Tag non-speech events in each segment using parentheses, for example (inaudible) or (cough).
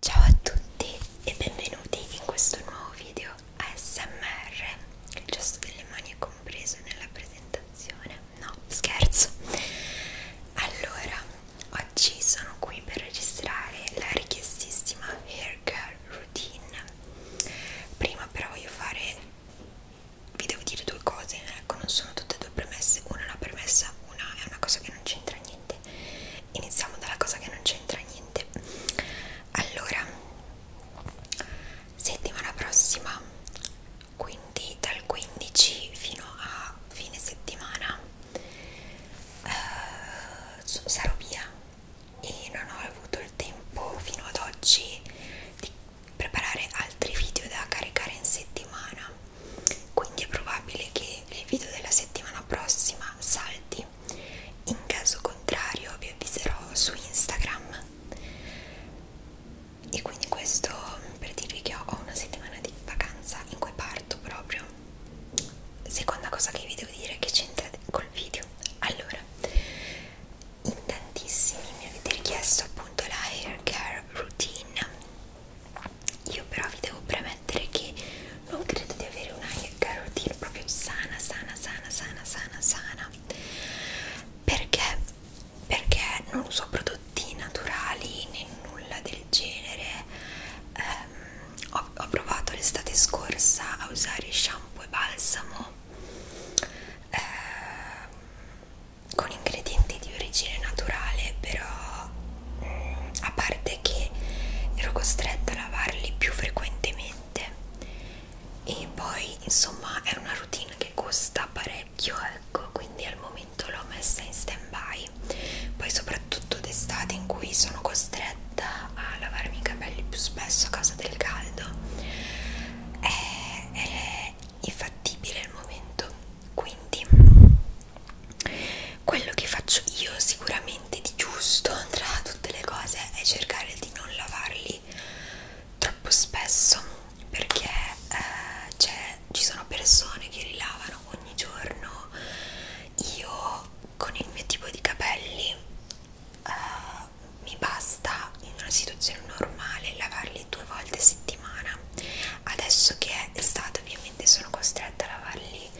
Ciao a tutti e benvenuti in questo nuovo video ASMR. Il gesto delle mani è compreso nella presentazione? No, scherzo. Allora, oggi sono qui per registrare la richiestissima Hair Girl Routine. Prima però voglio fare... vi devo dire due cose, ecco, non sono tutte e due premesse, una è una premessa, una è una cosa che non c'entra niente iniziamo dalla cosa che non c'entra niente allora settimana prossima quindi dal 15 fino a fine settimana eh, sarò via e non ho avuto il tempo fino ad oggi di preparare altri video da caricare in settimana quindi è probabile che il video della settimana prossima salti in caso contrario vi avviserò su Instagram e quindi questo per dirvi che ho una settimana di vacanza in cui parto proprio seconda cosa che vi devo dire che c'entra col video allora in tantissimi mi avete richiesto appunto la hair care routine io però vi devo premettere che non credo di avere una routine proprio sana, sana, sana, sana, sana, sana. Perché? Perché non uso prodotti naturali né nulla del genere. Um, ho, ho provato l'estate scorsa a usare shampoo e balsamo eh, con ingredienti di origine naturale, però mm, a parte perché ero costretta a lavarli più frequentemente e poi insomma è una routine che costa parecchio ecco quindi al momento l'ho messa in stand by poi soprattutto d'estate in cui sono costretta a lavarmi i capelli più spesso a causa del caldo è, è infattibile il momento quindi quello che faccio io sicuramente di giusto tra tutte le cose è cercare di non lavarli troppo spesso perché eh, cioè, ci sono persone che rilavano ogni giorno io con il mio tipo di capelli eh, mi basta in una situazione normale lavarli due volte a settimana adesso che è estate ovviamente sono costretta a lavarli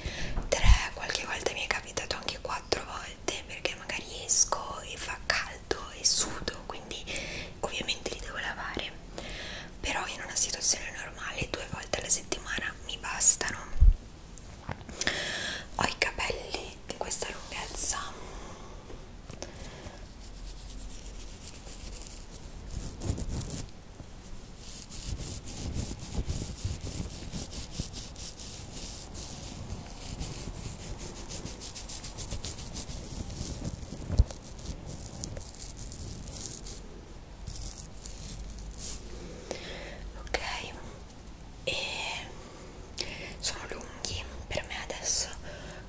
tre qualche volta mi è capitato anche quattro volte perché magari esco e fa caldo e sudo quindi ovviamente li devo lavare però in una situazione normale due volte alla settimana mi bastano ho i capelli di questa lunghezza ok e sono lunghi per me adesso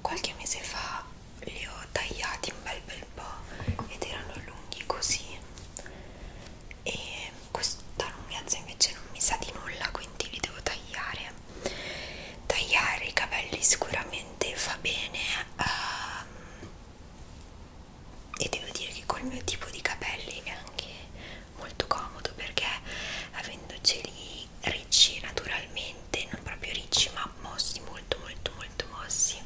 qualche mese fa li ho tagliati un bel bel po' ed erano lunghi così e questa lunghezza invece non mi sa di nulla quindi li devo tagliare tagliare i capelli sicuramente fa bene um, e devo dire che col mio tipo di capelli è anche molto comodo perché avendoceli ricci naturalmente non proprio ricci ma mossi molto molto molto mossi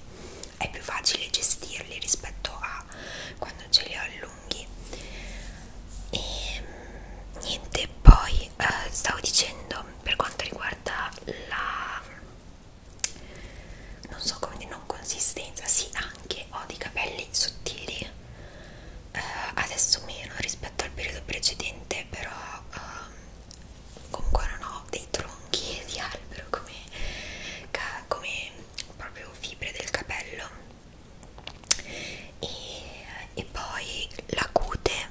è più facile gestirli rispetto a quando ce li ho allunghi e niente poi eh, stavo dicendo per quanto riguarda la non so come dire non consistenza sì anche ho dei capelli sottili eh, adesso meno rispetto al periodo precedente però eh, comunque non ho dei tronchi di albero come, come proprio fibre del capello e, e poi la cute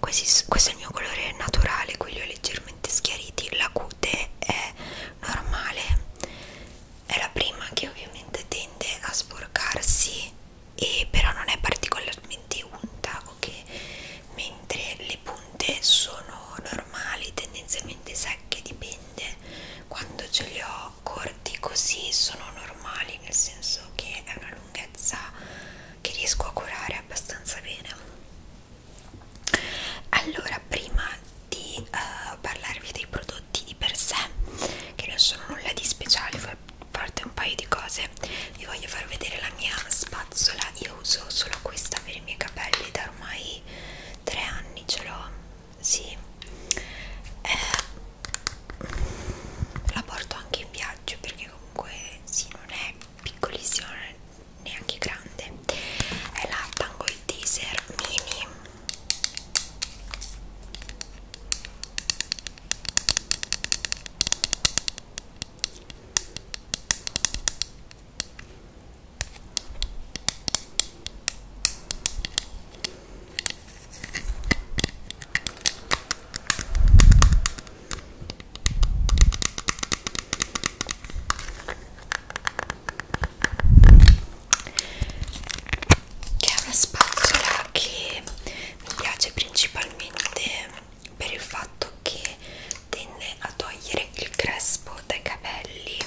Questi, questo è il mio colore naturale qui li ho leggermente schiariti la cute è normale è la prima che ovviamente tende a sporcarsi e però non è particolarmente unta o okay? che mentre le punte sono normali tendenzialmente secche dipende quando ce li ho corti così sono normali nel senso che è una lunghezza che riesco a curare abbastanza bene allora prima di uh, parlarvi dei prodotti di per sé che non sono nulla di speciale parte un paio di cose vi voglio far vedere la mia spa spazzola io uso solo questa per i miei capelli da ormai tre anni ce l'ho sì eh, la porto anche in viaggio perché comunque sì non è piccolissima neanche grande è la Tangle Teaser Mini che è una spazzola che mi piace principalmente per il fatto che tende a togliere il crespo dai capelli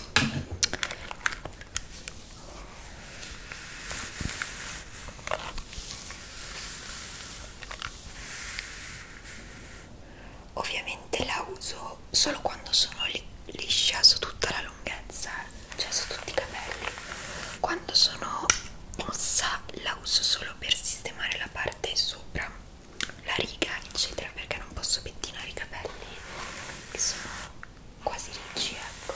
ovviamente la uso solo quando sono li liscia su tutta la lunghezza cioè su tutti i capelli quando sono mossa la uso solo per sistemare la parte sopra la riga eccetera perché non posso pettinare i capelli che sono quasi ricci ecco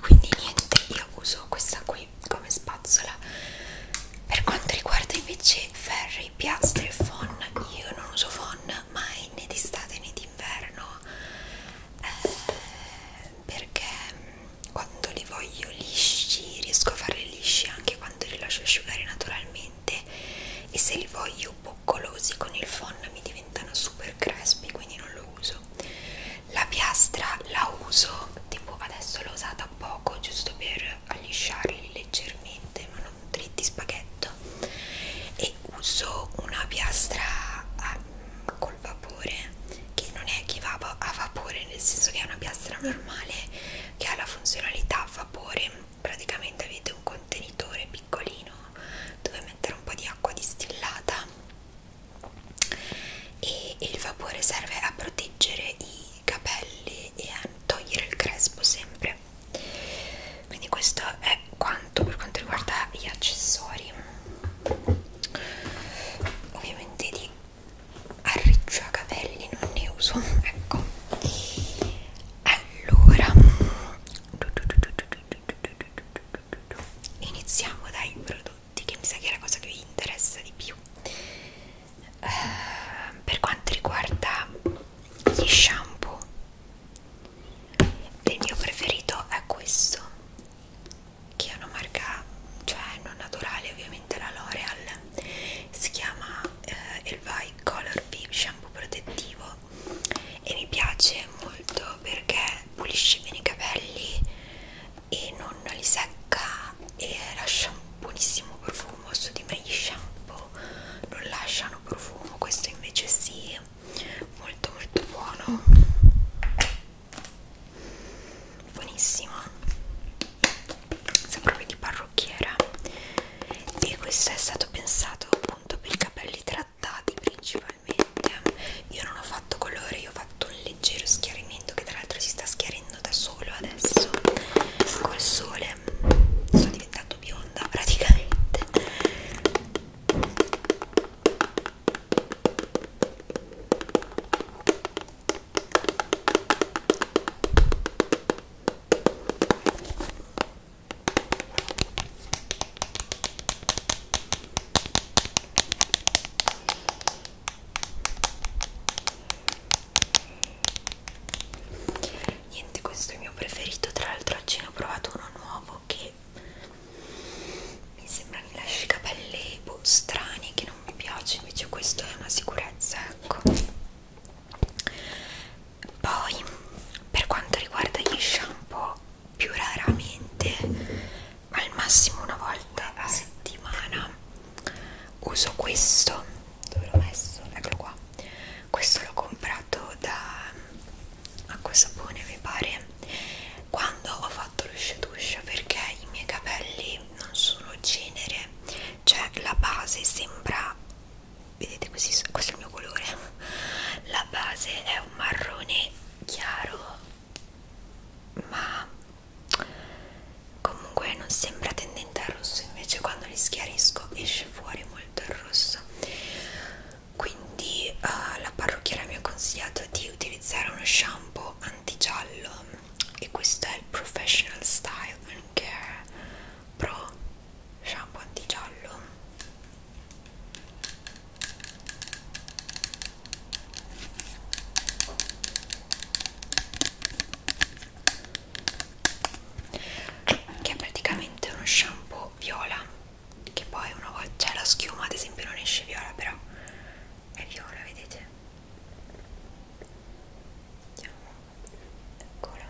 Quindi niente, io uso questa qui come spazzola. Per quanto riguarda invece ferri, piastre e fon, io non uso fon mai né d'estate né d'inverno eh, perché quando li voglio lisci riesco a farli lisci anche quando li lascio asciugare naturalmente e se li voglio boccolosi con il fon mi diventano super crespi quindi non lo uso la piastra la uso tipo adesso l'ho usata poco giusto per allisciarli leggermente ma non dritti spaghetto e uso una piastra a, ah, col vapore che non è che va a vapore nel senso che è una piastra normale che ha la funzionalità a vapore praticamente avete un contenitore piccolino dove mettere un po' di acqua distillata e, e il vapore serve a proteggere i capelli e a togliere il crespo sempre quindi questo è qua tanto per quanto riguarda gli accessori ovviamente di arricciacapelli non ne uso ecco allora iniziamo dai prodotti che mi sa che è la cosa che vi interessa di più uh, per quanto riguarda gli shampoo il mio preferito è questo che è una marca cioè non naturale ovviamente la L'Oreal si chiama eh, Elvai Color Viv shampoo protettivo e mi piace molto perché pulisce bene i capelli e non li secca e lascia un buonissimo profumo su di me gli shampoo non lasciano profumo questo invece sì molto molto buono buonissimo sa proprio di parrucchiera e questo è stato pensato appunto per i capelli trattati principalmente io non ho fatto colore io ho fatto un leggero schiarimento che tra l'altro si sta schiarendo da solo adesso col sole sto diventando bionda praticamente Niente, questo è il mio preferito. Tra l'altro, oggi ne ho provato uno nuovo che che mi sembra mi lasci i capelli boh, strani che non mi piace invece questo è una sicurezza ecco poi per quanto riguarda gli shampoo più raramente al massimo una volta a settimana uso questo dove l'ho messo eccolo qua questo l'ho comprato da acqua sapone mi pare quando ho fatto lo shadow perché i miei capelli non sono genere cioè la base sembra vedete questo è il mio colore (laughs) la base è un marrone chiaro ma comunque non sembra tendente al rosso invece quando li schiarisco esce fuori molto il rosso quindi uh, la parrucchiera mi ha consigliato di utilizzare uno shampoo antigiallo e questo è il Professional Style and Care Pro shampoo antigiallo che è praticamente uno shampoo viola che poi una volta c'è cioè, la schiuma ad esempio non esce viola però è viola vedete eccola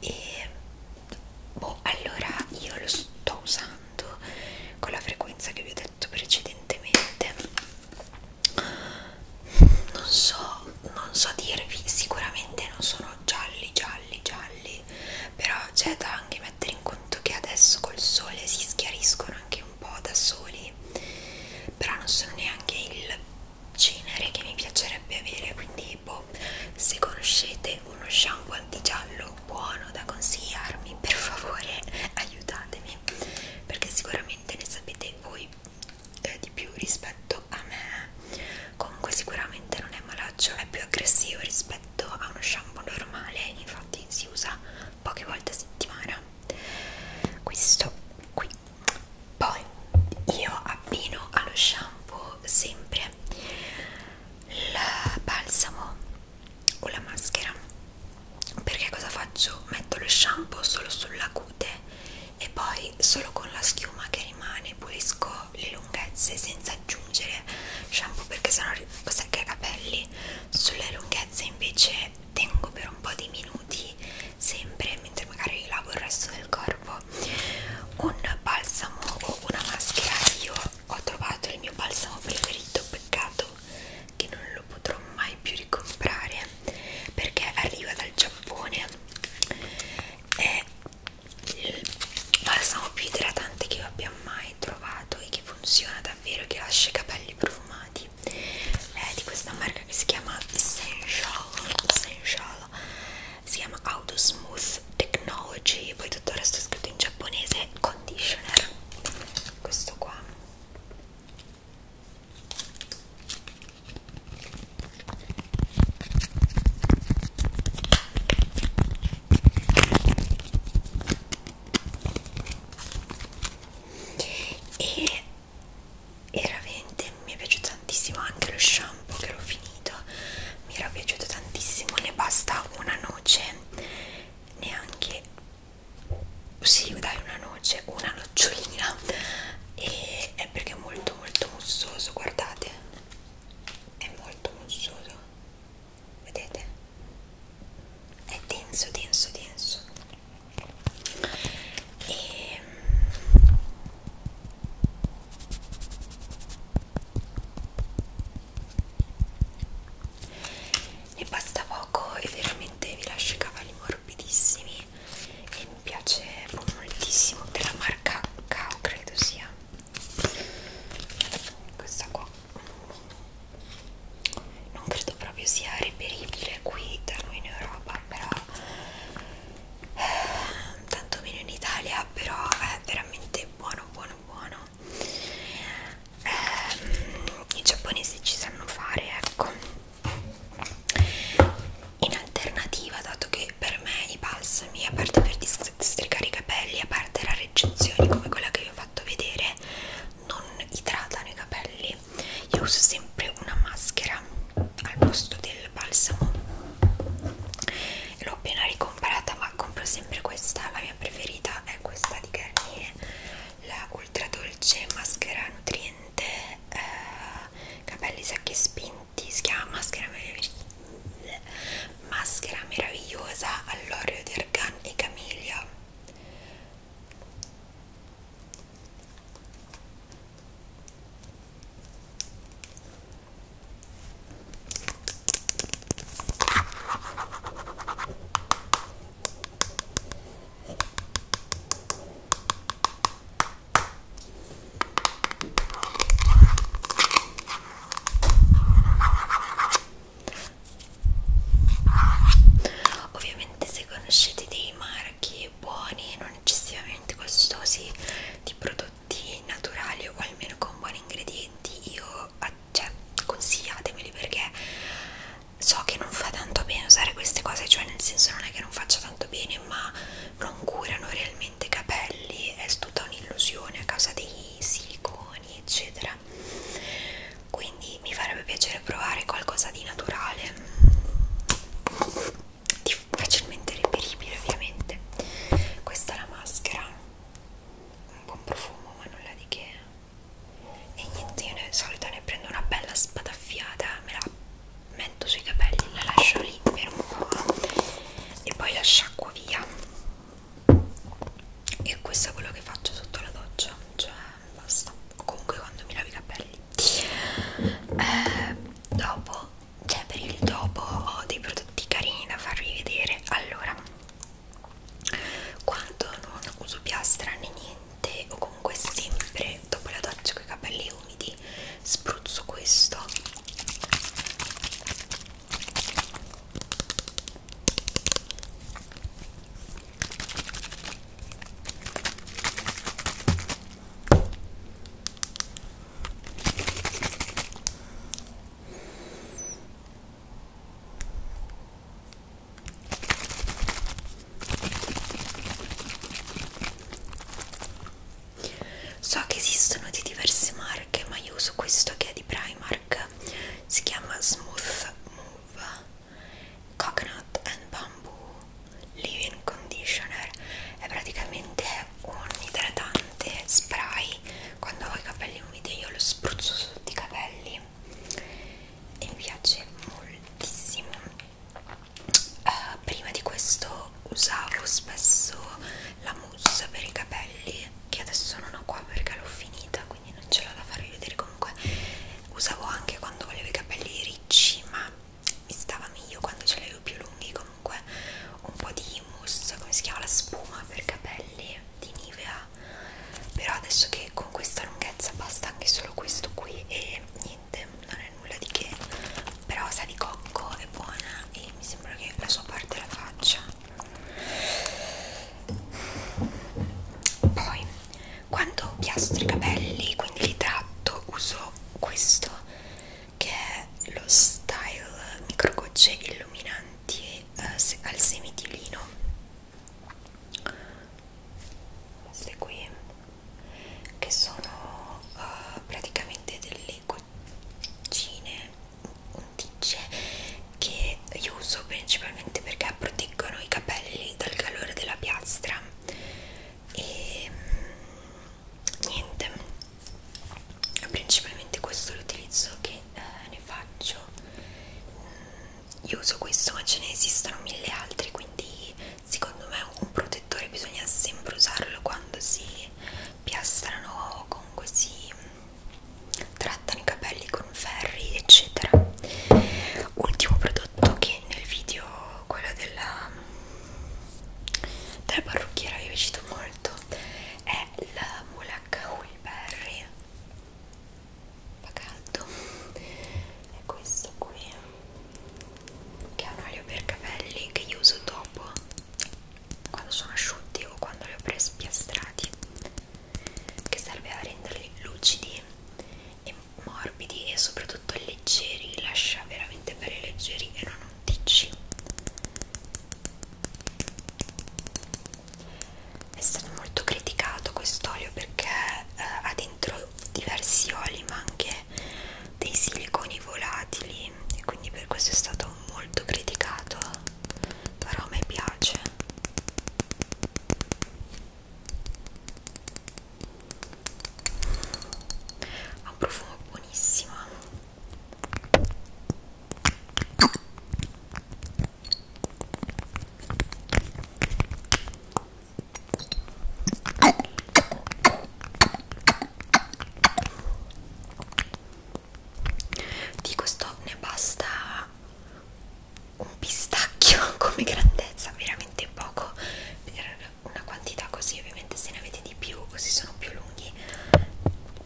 e boh allora io lo sto usando con la frequenza che vi ho detto precedentemente non so non so dirvi sicuramente non sono gialli gialli gialli però c'è da anche mettere in conto che adesso col sole si schiariscono anche un po' da soli però non sono neanche il genere che mi piacerebbe avere quindi boh, se conoscete uno shampoo antigiallo buono da consigliarmi per favore (laughs) aiutatemi perché sicuramente ne sapete voi eh, di più rispetto piaciuto a me comunque sicuramente non è malaggio è più aggressivo rispetto a uno shampoo normale infatti si usa poche volte a settimana questo qui poi io abbino allo shampoo sempre il balsamo o la maschera perché cosa faccio? metto lo shampoo solo sulla cute e poi solo con la schiuma che rimane pulisco le lunghezze senza aggiungere shampoo perché sennò secca i capelli sulle lunghezze invece tengo per un po' di minuti sempre mentre magari lavo il resto del corpo un balsamo o una maschera io ho trovato il mio balsamo preferito peccato che non lo potrò mai più ricomprare perché arriva dal Giappone è il balsamo più idratante che io abbia mai trovato e che funziona davvero, che lascia i capelli profumati è di questa marca che si chiama Essential, Essential si chiama Auto Smooth Technology poi tutto il resto è scritto in giapponese conditioner questo qua e veramente mi è piaciuto tantissimo anche lo shampoo che l'ho finito mi era piaciuto tantissimo ne basta una noce neanche sì dai una noce una nocciolina e è perché è molto molto mussoso guardate è molto mussoso vedete è denso denso denso e mm, ne basta poco e veramente vi lascio i cavalli morbidissimi Blush e mi piace moltissimo della marca Kao credo sia questa qua non credo proprio sia reperibile qui da noi in Europa però eh, tanto meno in Italia però è veramente buono buono buono eh, i giapponesi ci sanno fare ecco in alternativa dato che per me i balsami a parte per districare i capelli a parte rareggiezioni come quella che vi ho fatto vedere non idratano i capelli io uso sempre una maschera al posto del balsamo l'ho appena ricomprata ma compro sempre questa la mia preferita è questa di Garnier la ultra dolce maschera nutriente eh, capelli secchi e spinti di schia, maschera, maschera meravigliosa all'oreo di argan e camiglia Ovviamente se conoscete dei marchi buoni e non eccessivamente costosi di prodotti naturali o almeno con buoni ingredienti, io cioè, consigliatemeli perché so che non fa tanto bene usare queste cose, cioè nel senso non è che non faccia tanto bene, ma non curano realmente i capelli, è tutta un'illusione a causa dei siliconi, eccetera. Quindi mi farebbe piacere provare qualcosa di naturale, di facilmente reperibile, ovviamente. Questa è la maschera, un buon profumo, ma nulla di che. E niente, io di solito ne prendo una bella spadaffiata, me la metto sui capelli la lascio lì per un po' e poi la sciacquo via e questo è quello che faccio sotto la doccia cioè basta o comunque quando mi lavo i capelli eh, dopo cioè per il dopo ho dei prodotti carini da farvi vedere allora quando non uso piastra né niente o comunque sempre dopo la doccia con i capelli capelli umidi spruzzo questo So che esistono di diverse marche, ma io uso questo che è di Primark. Si chiama Smooth Move Coconut and Bamboo Living Conditioner. È praticamente un idratante spray. Quando ho i capelli umidi, io lo spruzzo sotto i capelli e mi piace moltissimo uh, prima di questo usavo spesso la mousse per i capelli che adesso non ho qua perché l'ho finita quindi non ce l'ho da farvi vedere comunque usavo anche quando volevo i capelli ricci ma mi stava meglio quando ce l'avevo più lunghi comunque un po' di mousse come si chiama la spuma per capelli di Nivea però adesso che con questa lunghezza basta anche solo questo qui e niente niente, non è nulla di che, però sa di cocco, è buona e mi sembra che la sua parte la faccia. Poi, quando piastro i capelli, quindi li tratto, uso questo che è lo Style Microgocce Illuminanti eh, al semitilino queste qui che sono uh, praticamente delle goccine unticce che io uso principalmente perché proteggono i capelli dal calore della piastra e niente principalmente questo l'utilizzo che eh, ne faccio io uso questo ma ce ne esistono mille altri quindi secondo me un protettore bisogna sempre usarlo quando si piastrano o comunque si mm, trattano i capelli con ferri eccetera ultimo prodotto che nel video quello della, mm, della parrucchiera vi è piaciuto molto è la Mulacca Wilberry fa caldo è questo qui che è un olio per capelli che io uso dopo quando sono asciutti o quando li ho prespiastrati che serve a renderli lucidi e morbidi e soprattutto leggeri lascia veramente belli leggeri e non onticci è stato molto criticato quest'olio perché eh, ha dentro diversi oli ma anche dei siliconi volatili e quindi per questo è stato molto criticato però a me piace ha un profumo buonissimo di questo ne basta un pistacchio (laughs) come grandezza veramente poco per una quantità così ovviamente se ne avete di più così sono più lunghi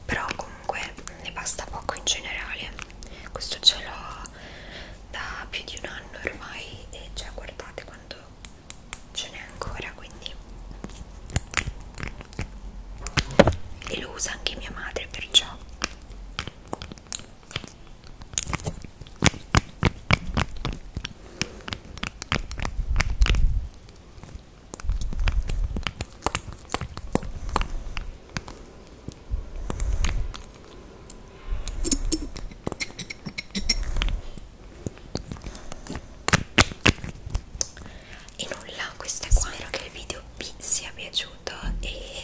però comunque ne basta poco in generale questo ce l'ho da più di un anno ormai e già cioè, guardate quanto ce n'è ancora quindi e lo usa anche mia madre perciò e nulla questo è qua spero che il video vi sia piaciuto e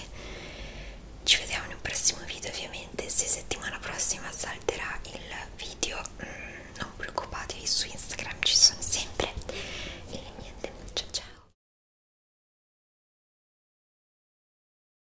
ci vediamo in un prossimo video ovviamente se settimana prossima salterà il video mm, non preoccupatevi su Instagram ci sono sempre e niente ciao ciao